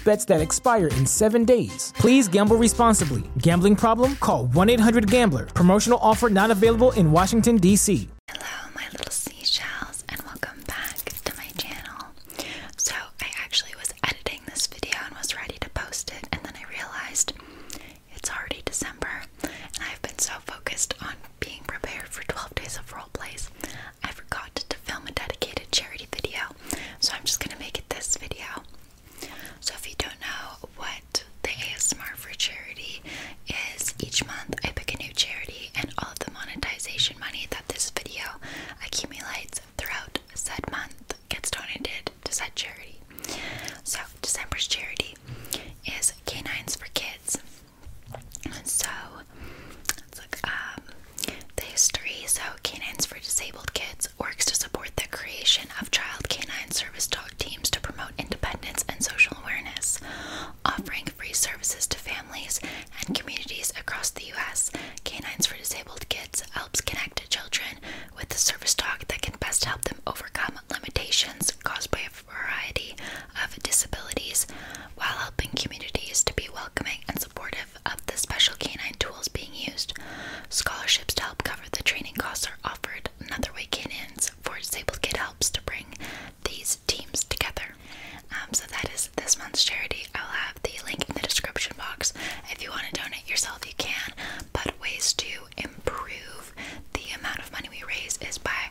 bets that expire in seven days. Please gamble responsibly. Gambling problem? Call 1 800 Gambler. Promotional offer not available in Washington, D.C. Hello, my little seashells, and welcome back to my channel. So, I actually was editing this video and was ready to post it, and then I realized it's already December, and I've been so focused on being prepared for 12 days of role plays. I forgot to film a dedicated charity video. So I'm just gonna make it this video. So if you don't know what the ASMR for charity is, each month I pick a new charity and all of the monetization money that this video accumulates throughout said month gets donated to said charity. So December's charity is Canines for Kids. So um, the history. So Canines for Disabled Kids works to support the creation of child canine service dog teams to promote independence and social awareness, offering free services to families and communities across the U.S. Canines for Disabled Kids helps connect children with the service dog that can best help them overcome limitations caused by a variety of disabilities while helping communities to be welcoming and supportive of the special canine tools being used. Scholarships to help cover the training costs are offered. Another way canines for disabled kids helps to bring these teams together. Um, so that is this month's charity. I'll have the link in the description box. If you want to donate yourself, you can. But ways to improve the amount of money we raise is by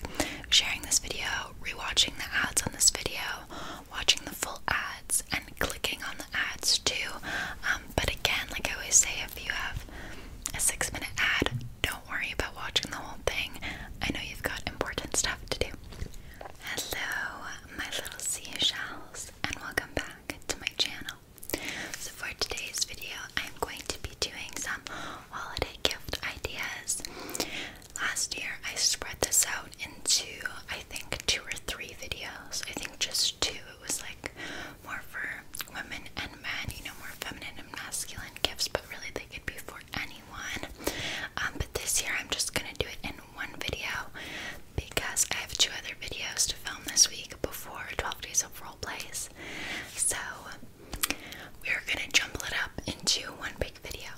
sharing this video, rewatching the ads on this video, watching the full ads and clicking on the ads too. Um, but again, like I always say, if you have a six minute ad, don't worry about watching the whole thing. I know you've got important stuff to do. Hello, my little seashells, and welcome back to my channel. So, for today's video, I'm going to be doing some holiday gift ideas. Last year, I spread this out into I think two or three videos. I think just two. It was like more for women and men, you know, more feminine and masculine gifts, but really they could be for anyone. Um, but this year, I'm just gonna do it in one video because I have two other videos to film this week before 12 Days of Role Plays. So we're gonna jumble it up into one big video.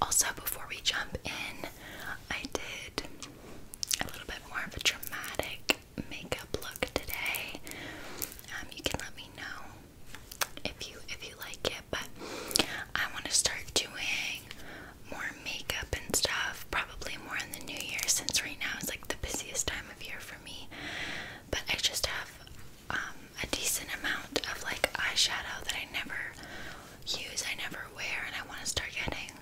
Also, before we jump in, I did a little bit more of a dramatic makeup look today. Um, you can let me know if you if you like it, but I want to start doing more makeup and stuff. Probably more in the new year, since right now is like the busiest time of year for me. But I just have um, a decent amount of like eyeshadow that I never use, I never wear, and I want to start getting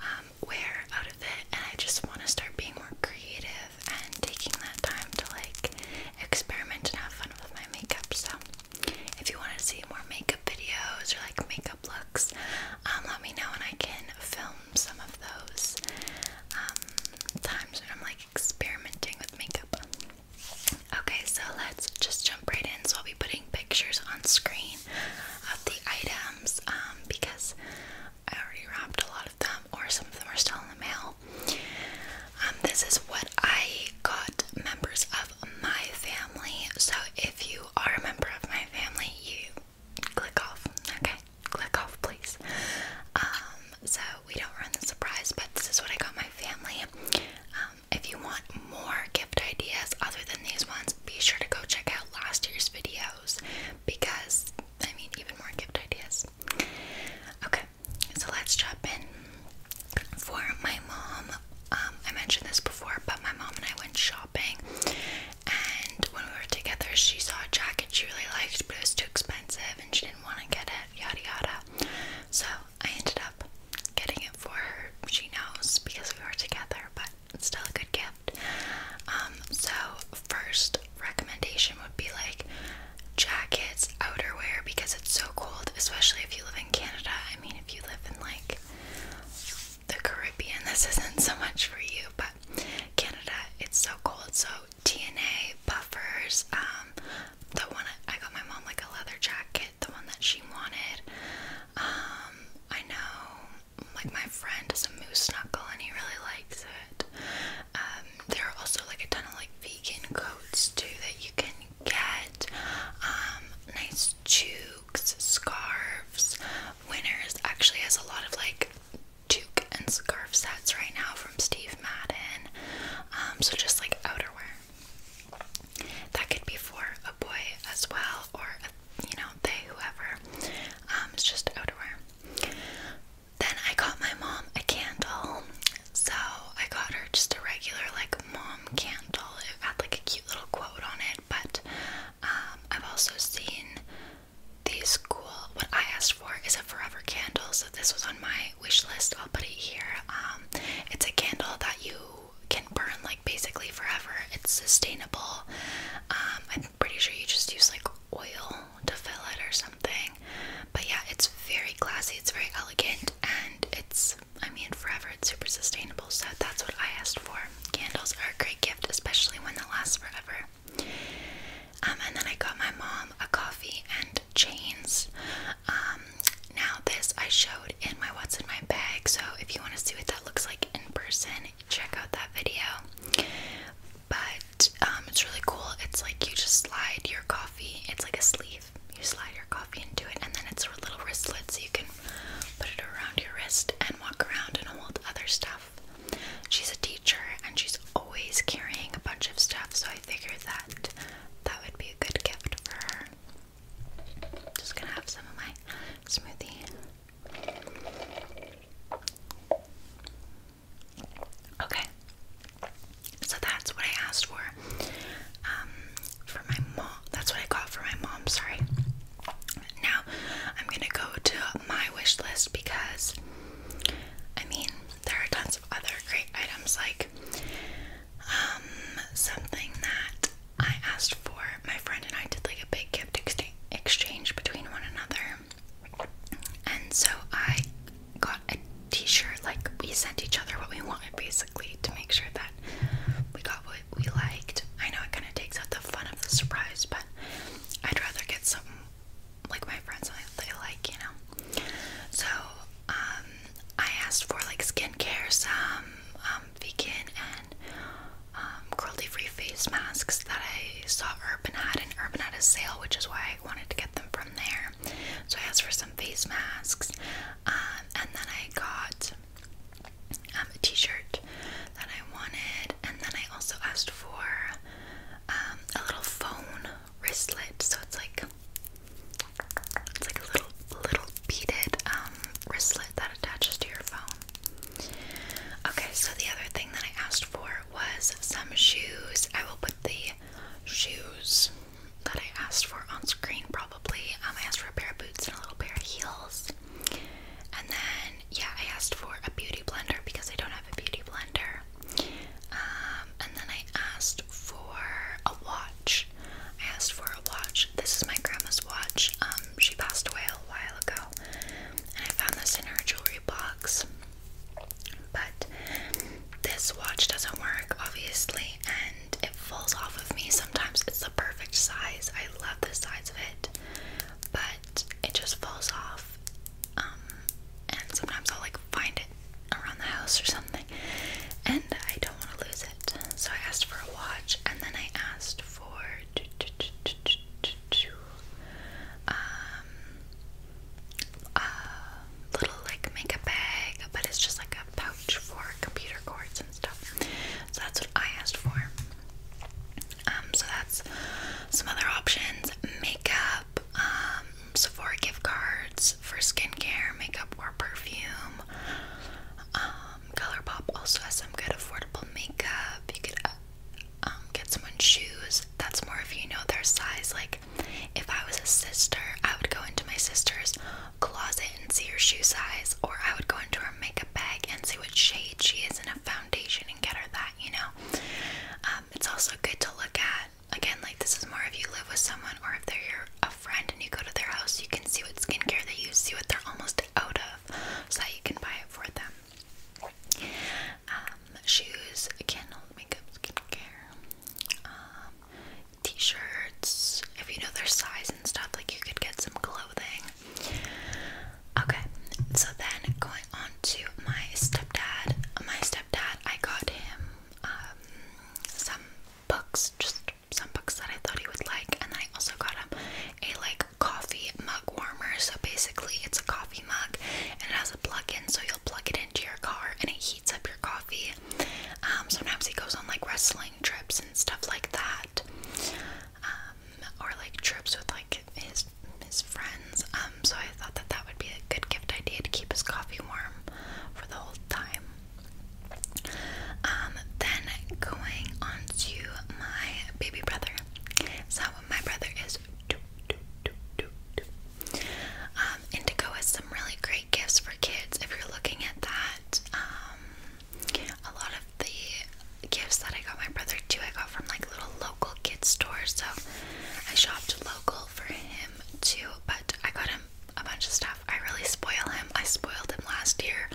um, wear out of it. And I just want to start being more creative and taking that time to like experiment and have fun with my makeup. So, if you want to see more makeup videos or like makeup looks, um, let me know and I can film some of those um, times when I'm like experimenting with makeup. Okay, so let's just jump right in. So I'll be putting pictures on screen of the items um, because I already wrapped a lot of them, or some of them are still in the mail. Um, this is what I got members of my family. So if you are a member of my family, you click off. Okay, click off, please. Um, so we don't run the surprise, but this is what I got my family if you want more gift ideas other than these ones, be sure to go check out last year's videos because I mean, even more gift ideas. Okay, so let's jump in. For my mom, um, I mentioned this before, but my mom and I went shopping, and when we were together, she saw a jacket she really liked, but it was too expensive and she didn't want to get it, yada yada. So I ended up getting it for her. She knows because we were together, but it's still a good gift. Um, so first recommendation would be like jackets, outerwear because it's so cold, especially if you live in Canada. I mean, if you live in like the Caribbean, this isn't so much for you, but Canada, it's so cold. So TNA buffers, um, the one I, I got my mom like a leather jacket, the one that she wanted. Um, I know like my friend is a moose knuckle and he really likes it. Um, there are also like a ton of like vegan coats too that you can get. Um, nice toques, scarves. Winners actually has a lot of like toque and scarf sets right now from Steve Madden. Um, so just like outerwear that could be for a boy as well, or you know, they, whoever. Um, it's just outerwear. Then I got my mom a candle, so I got her just a regular like mom candle. It had like a cute little quote on it, but um, I've also seen these cool. What I asked for is a forever candle, so this was on my my wish list. I'll put it here. Um, it's a candle that you can burn like basically forever. It's sustainable. Um, I'm pretty sure you just use like oil to fill it or something. But yeah, it's very classy. It's very elegant, and it's I mean forever. It's super sustainable. So that's what I asked for. Candles are a great gift, especially when they last forever. Um, and then I got my mom a coffee and chains. Um, now this I showed in my what's in my bag, so if you want to see what that looks like in person, check out that video. But um, it's really cool. It's like you just slide your coffee. It's like a sleeve. You slide your coffee into it, and then it's a little wristlet, so you can put it around your wrist and walk around and hold other stuff. She's a teacher, and she's always carrying a bunch of stuff, so I figured that that would be a good gift for her. Just gonna have some of my smoothie. Okay, so that's what I asked for. Um, for my mom, that's what I got for my mom. Sorry. Now I'm gonna go to my wish list because I mean there are tons of other great items like um, something that I asked for. My friend and I did like a big gift ex exchange between one another. And so I got a t-shirt like we sent each other what we wanted basically to make sure that we got what we liked. I know it kind of takes out the fun of the surprise, but I'd rather get something like my friends that I like, you know. So um, I asked for like skincare, some um, vegan and um, cruelty-free face masks that I saw Urban had, and Urban had a sale, which is why I wanted to get them from there. So I asked for some face masks, um, and then I got um, a T-shirt that I wanted, and then I also asked for um, a little phone wristlet. So it's like it's like a little little beaded um wristlet that attaches to your phone. Okay, so the other thing that I asked for was some shoes. I will put the shoes that I asked for on screen probably. Um, I asked for a pair of boots and a little pair of heels. And then yeah, I asked for a beauty blender because I don't have a beauty blender. Um, and then I asked for a watch. I asked for a watch. This is my grandma's watch. Um, she passed away a while ago, and I found this in her jewelry box. But this watch doesn't work, obviously, and it falls off of me sometimes. It's the perfect size. I love the size of it, but it just falls off. Um, and sometimes i like find it around the house or something. And I don't want to lose it. So I asked for a watch and then I asked for um, a little like makeup bag, but it's just like a pouch for computer cords and stuff. So that's what I asked for. Um, so that's some other options. Makeup, um, Sephora gift cards for skincare, makeup, or perfume. Um, ColourPop also has some good affordable makeup. You could uh, um, get someone shoes. That's more if you know their size. Like, if I was a sister, I would go into my sister's closet and see her shoe size, or I would go into her makeup bag and see what shade she is in a foundation and get her that. You know, um, it's also good to look at again, like this is more if you live with someone or if they're your, a friend and you go to their house, you can see what skincare they use, see what they're almost out of, so that you can buy it for them. Um, shoes, again, makeup, skincare, um, t-shirts. If you know their size and stuff, like you could get some clothing. Okay, so then going on to my stepdad. My stepdad, I got him um, some books, just some books that I thought he would like, and I also got him a like coffee mug warmer. So basically, it's a coffee mug, and it has a plug-in, so you'll plug it into your car, and it heats up your coffee. Um, sometimes he goes on like wrestling trips and stuff like that, um, or like trips with like his his friends. Um, so I thought that that would be a good gift idea to keep his coffee warm for the whole time. Um, then going on to my baby brother. So my brother is doo, doo, doo, doo, doo. Um, Indigo has some really great gifts for kids. If you're looking at that, um, a lot of the gifts that I got my brother too, I got from like little local kids stores. So I shopped local for him too, but I got him a bunch of stuff. I really spoil him. I spoiled him last year.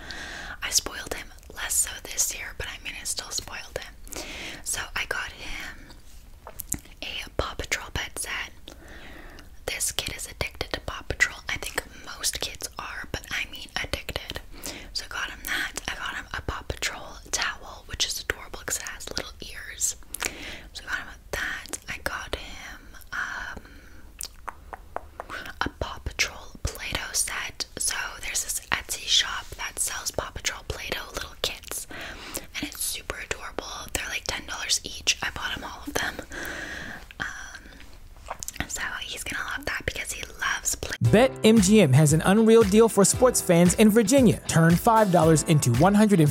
I spoiled him less so this year, but I mean, I still spoiled him. So I got him a Paw Patrol pet set. This kid is addicted to Paw Patrol. I think most kids are, but I mean addicted. So I got him that. I got him a Paw Patrol towel, which is adorable because it has little ears. So I got him that I got him um, a Paw Patrol Play Doh set. So there's this Etsy shop that sells Paw Patrol Play Doh little kits, and it's super adorable. They're like $10 each. I bought him all of them. Um, so he's gonna love that because he loves Play Bet MGM has an unreal deal for sports fans in Virginia. Turn $5 into $150.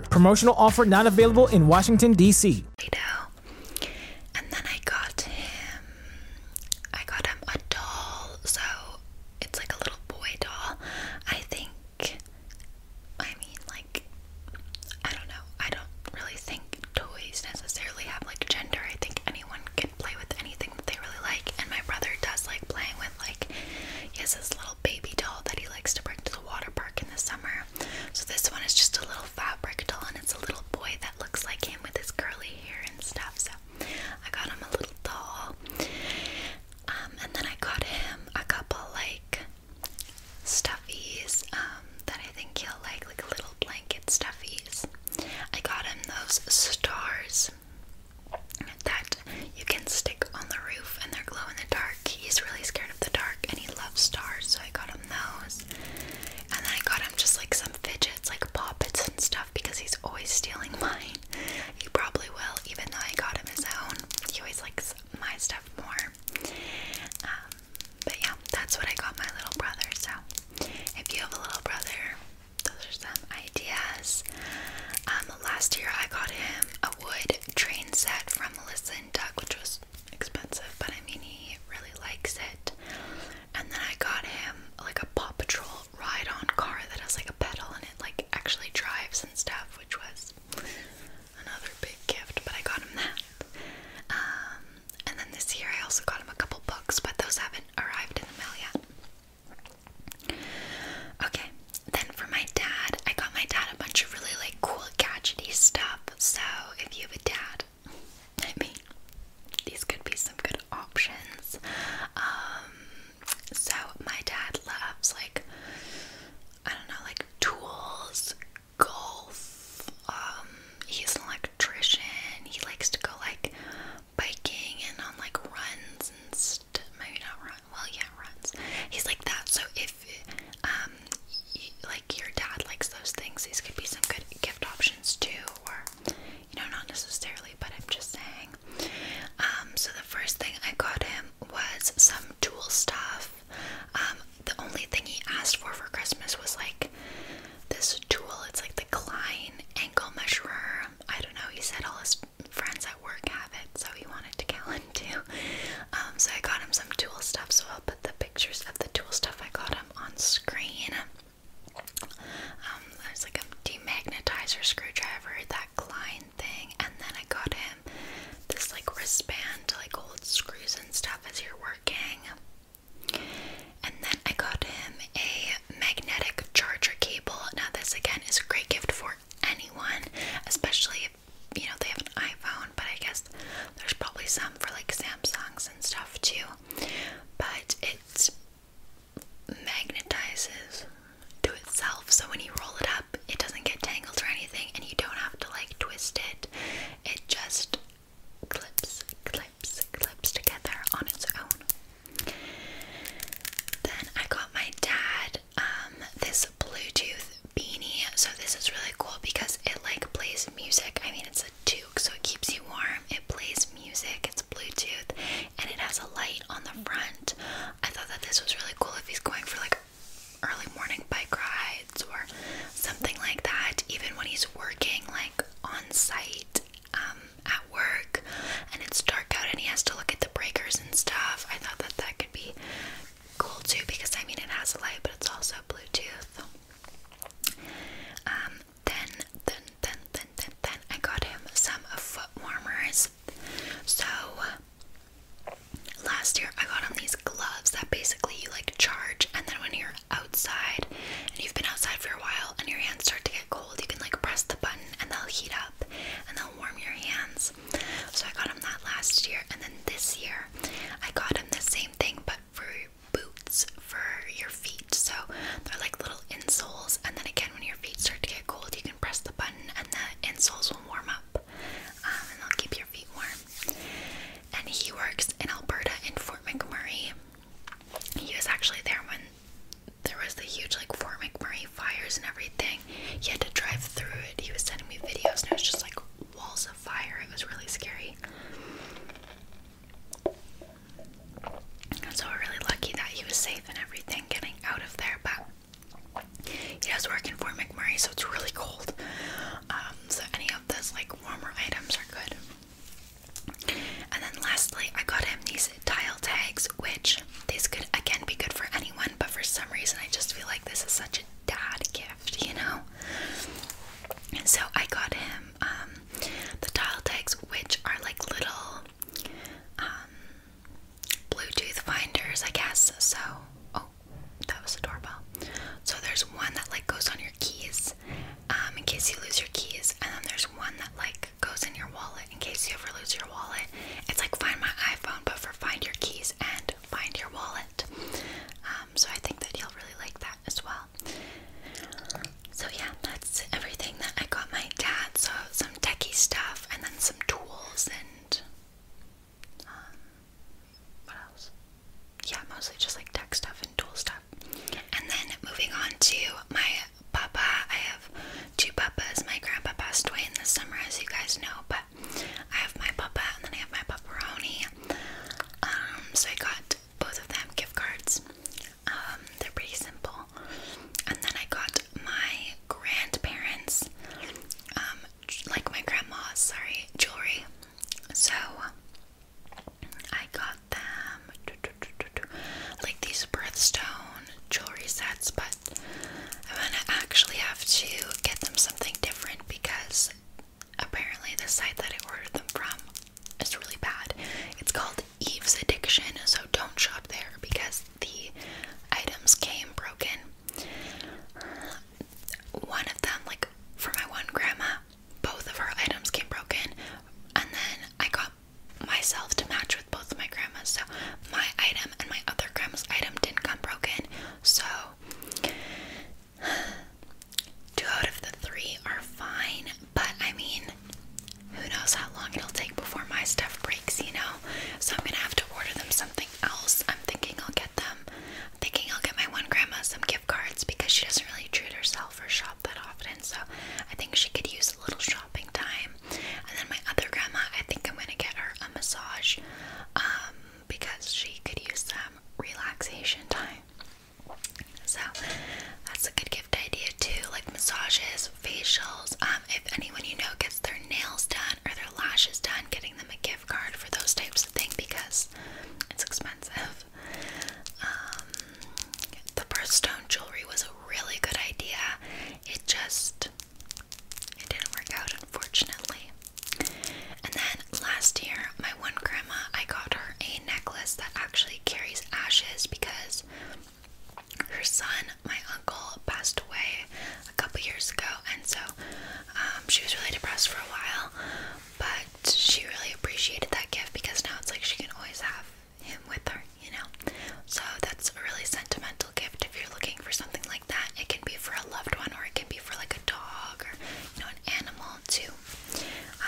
Promotional offer not available in Washington, D.C. I got him a doll, so it's like a little boy doll. I think, I mean, like, I don't know, I don't really think toys necessarily have like gender. I think anyone can play with anything that they really like, and my brother does like playing with, like, he has this little baby doll that he likes to bring to the water park in the summer. So this one is just a little fabric doll and it's a little boy that looks like him with his curly hair and stuff. So I got him a little doll. Um, and then I got him a couple like stuffies um, that I think he'll like, like little blanket stuffies. I got him those stars that you can stick on the roof and they're glow in the dark. He's really scared of the dark and he loves stars, so I got him those. And then I got him just like some fidgets, like poppets and stuff, because he's always stealing mine. He probably will, even though I got him his own. He always likes my stuff more. Um, but yeah, that's what I got my little brother. So if you have a little brother, those are some ideas. Um, last year I got him a wood train set from Melissa and Doug, which was expensive, but I mean he really likes it. And then I got him like a Paw Patrol ride-on car that has like a pedal and it like actually drives and stuff, which was another big gift. But I got him that. Um, and then this year I also got him a couple books, but those haven't arrived in the mail yet. Okay, then for my dad, I got my dad a bunch of really like cool gadgety stuff. So if you have a dad, I mean, these could be some good options. Um, so my dad loves like I don't know, like tools, golf. Um, he's an electrician. He likes to go like biking and on like runs and maybe not run. Well, yeah, runs. He's like that. So if um you, like your dad likes those things, these could be some good gift options too, or you know, not necessarily, but I'm just saying. Um, so the first thing I got him was some tool stuff. Um, the only thing he asked for for Christmas was like this tool. It's like the Klein ankle measurer. I don't know. He said all his friends at work have it, so he wanted to get one too. Um, so I got him some tool stuff, so I'll put the pictures of the tool stuff I got him on screen. Um, there's like a demagnetizer screwdriver, that Klein thing, and then I got him this like wristband to like old screws and stuff as you're working. And then I got him a magnetic charger cable. Now, this again is a great gift for anyone, especially if you know they have an iPhone, but I guess there's probably some for like Samsungs and stuff too. But it magnetizes to itself, so when you roll it up, it doesn't get tangled or anything, and you don't have to like twist it, it just clips, clips, clips together on its own. Then I got my dad um, this Bluetooth beanie. So this is really cool because it like plays music. I mean it's a duke, so it keeps you warm. It plays music, it's Bluetooth, and it has a light on the front. I thought that this was really cool if he's going for like early morning bike rides or something like that, even when he's working like on site um, at work and it's dark out and he has to look at the breakers and stuff. I thought that that could be cool too because I mean it has a light but it's also Bluetooth. Um, then, then, then, then, then, then I got him some foot warmers. So last year I got him these gloves that basically you like charge and then when you're outside and you've been outside for a while and your hands start to get cold, you can like press the button and they'll heat up and they'll warm your hands. So I got him that last year, and then this year I got him the same thing but for boots for your feet. So they're like little insoles, and then again, when your feet start to get cold, you can press the button and the insoles will warm up um, and they'll keep your feet warm. And he works in Alberta in Fort McMurray. He was actually there when there was the huge like Fort McMurray fires and everything. He had to drive through it. He was sending me videos and it was just like walls of fire. It was really scary. And so we're really lucky that he was safe and everything getting out of there, but he does work in Fort McMurray, so it's really cold. Um, so any of those like warmer items are good. And then lastly, I got him these tile tags, which these could again be good for anyone, but for some reason I just feel like this is such a dad gift, you know? And so I got him um, the tile tags, which are like little um, Bluetooth finders, I guess. So, oh, that was a doorbell. So there's one that like goes on your keys um, in case you lose your keys, and then there's one that like goes in your wallet in case you ever lose your wallet. It's like Find My iPhone, but for find your keys and find your wallet. Um, so I think that he will really like that as well. So yeah, that's everything that I got my dad. So some techy stuff, and then some tools, and um, what else? Yeah, mostly just like tech stuff and tool stuff. And then moving on to my Papa. I have two Papas. My grandpa passed away in the summer, as you guys know, but I have my Papa and then I have my Pepperoni. Um, so I got both of them gift cards. Um, they're pretty simple. And then I got my grandparents, um, like my grandma's, sorry, jewelry. So I got them like these birthstone jewelry sets, but I'm gonna actually have to get them something different because apparently the site that I ordered them from is really bad. It's called Eve's Addiction, so don't shop there because the items came broken. One of them, like for my one grandma, both of her items came broken, and then I got myself to match with both of my grandmas. So my item and my other grandma's item didn't come broken. So two out of the three are fine, but I mean, who knows how long it'll take before my stuff breaks, you know? So I'm gonna have to order them something else. I'm thinking I'll get them. I'm thinking I'll get my one grandma some gift cards because she doesn't really treat herself or shop that often. So I think she could use a little shopping time. And then my other grandma, I think I'm gonna get her a massage um, because she could use some relaxation time. So that's a good gift idea too, like massages, facials. Um, if anyone you know gets their nails done or their lashes done, getting them a gift card for those types of things because it's expensive. Um, the birthstone jewelry was a really good idea, it just it didn't work out unfortunately. And then last year, my one grandma, I got her a necklace that actually carries ashes because her son, my uncle, passed away a couple years ago, and so um, she was really depressed for a while. But she really appreciated that gift because now it's like she can always have him with her, you know? So that's a really sentimental gift if you're looking for something like that. It can be for a loved one or it can be for like a dog or, you know, an animal too.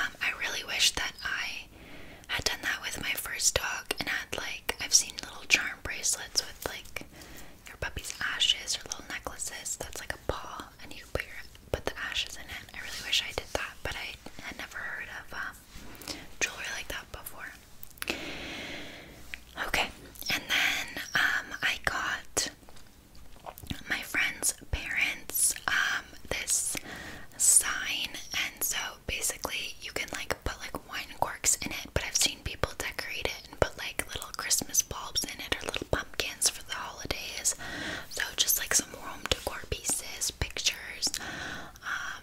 Um, I really wish that I had done that with my first dog and had like, I've seen little charm bracelets with like your puppy's ashes or little necklaces that's like a paw and you put, your, put the ashes in it. I really wish I did that, but I had never heard of um, jewelry like that before. Okay, and then um, I got my friend's parents um, this sign, and so basically you can like put like wine corks in it, but I've seen people decorate it and put like little Christmas bulbs in it or little pumpkins for the holidays. So just like some warm decor pieces, pictures, um,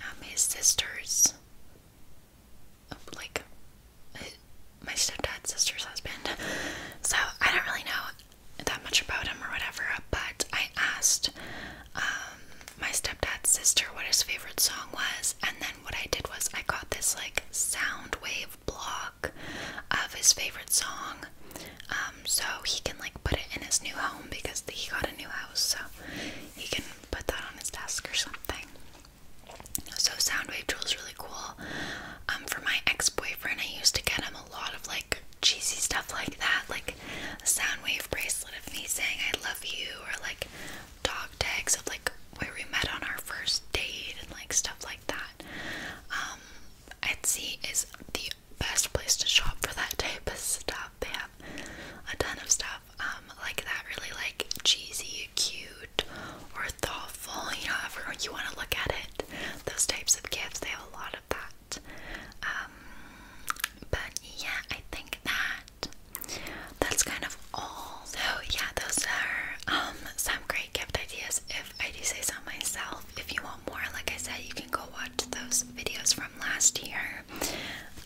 um, his sister's, like, my stepdad's sister's husband. So I don't really know that much about him or whatever, but I asked um, my stepdad's sister what his favorite song was, and then what I did was I got this, like, sound wave block of his favorite song. Um, so he can like put it in his new home because he got a new house, so he can put that on his desk or something. So Soundwave Jewel is really cool. Um, for my ex-boyfriend, I used to get him a lot of like cheesy stuff like that, like a Soundwave bracelet of me saying I love you, or like dog tags of like where we met on our first date and like stuff like that. Um, Etsy is the best place to shop for that type of stuff. They have a ton of stuff um, like that, really like cheesy, cute, or thoughtful. You know, however you want to look at it. Those types of gifts. They have a lot of that. Um, but yeah, I think that that's kind of all. So yeah, those are um, some great gift ideas. If I do say so myself, if you want more, like I said, you can go watch those videos from last year.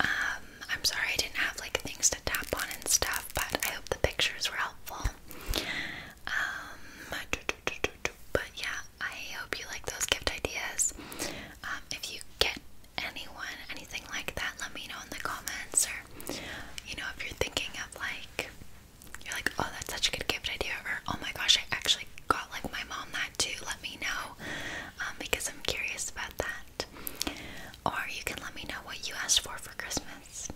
Um, I'm sorry I didn't have like things to tap on and stuff, but I hope the pictures were helpful. Um, but yeah, I hope you like those gift ideas. Um, if you get anyone anything like that, let me know in the comments, or you know, if you're thinking of like. You're like, oh, that's such a good gift idea, or oh my gosh, I actually got like my mom to let me know um, because I'm curious about that. Or you can let me know what you asked for for Christmas.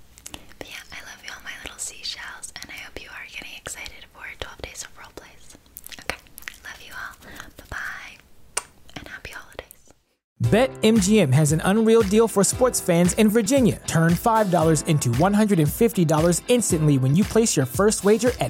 yeah, I love you all, my little seashells, and I hope you are getting excited for 12 days of roleplays. Okay, love you all. Bye bye, and happy holidays. BetMGM has an unreal deal for sports fans in Virginia. Turn $5 into $150 instantly when you place your first wager at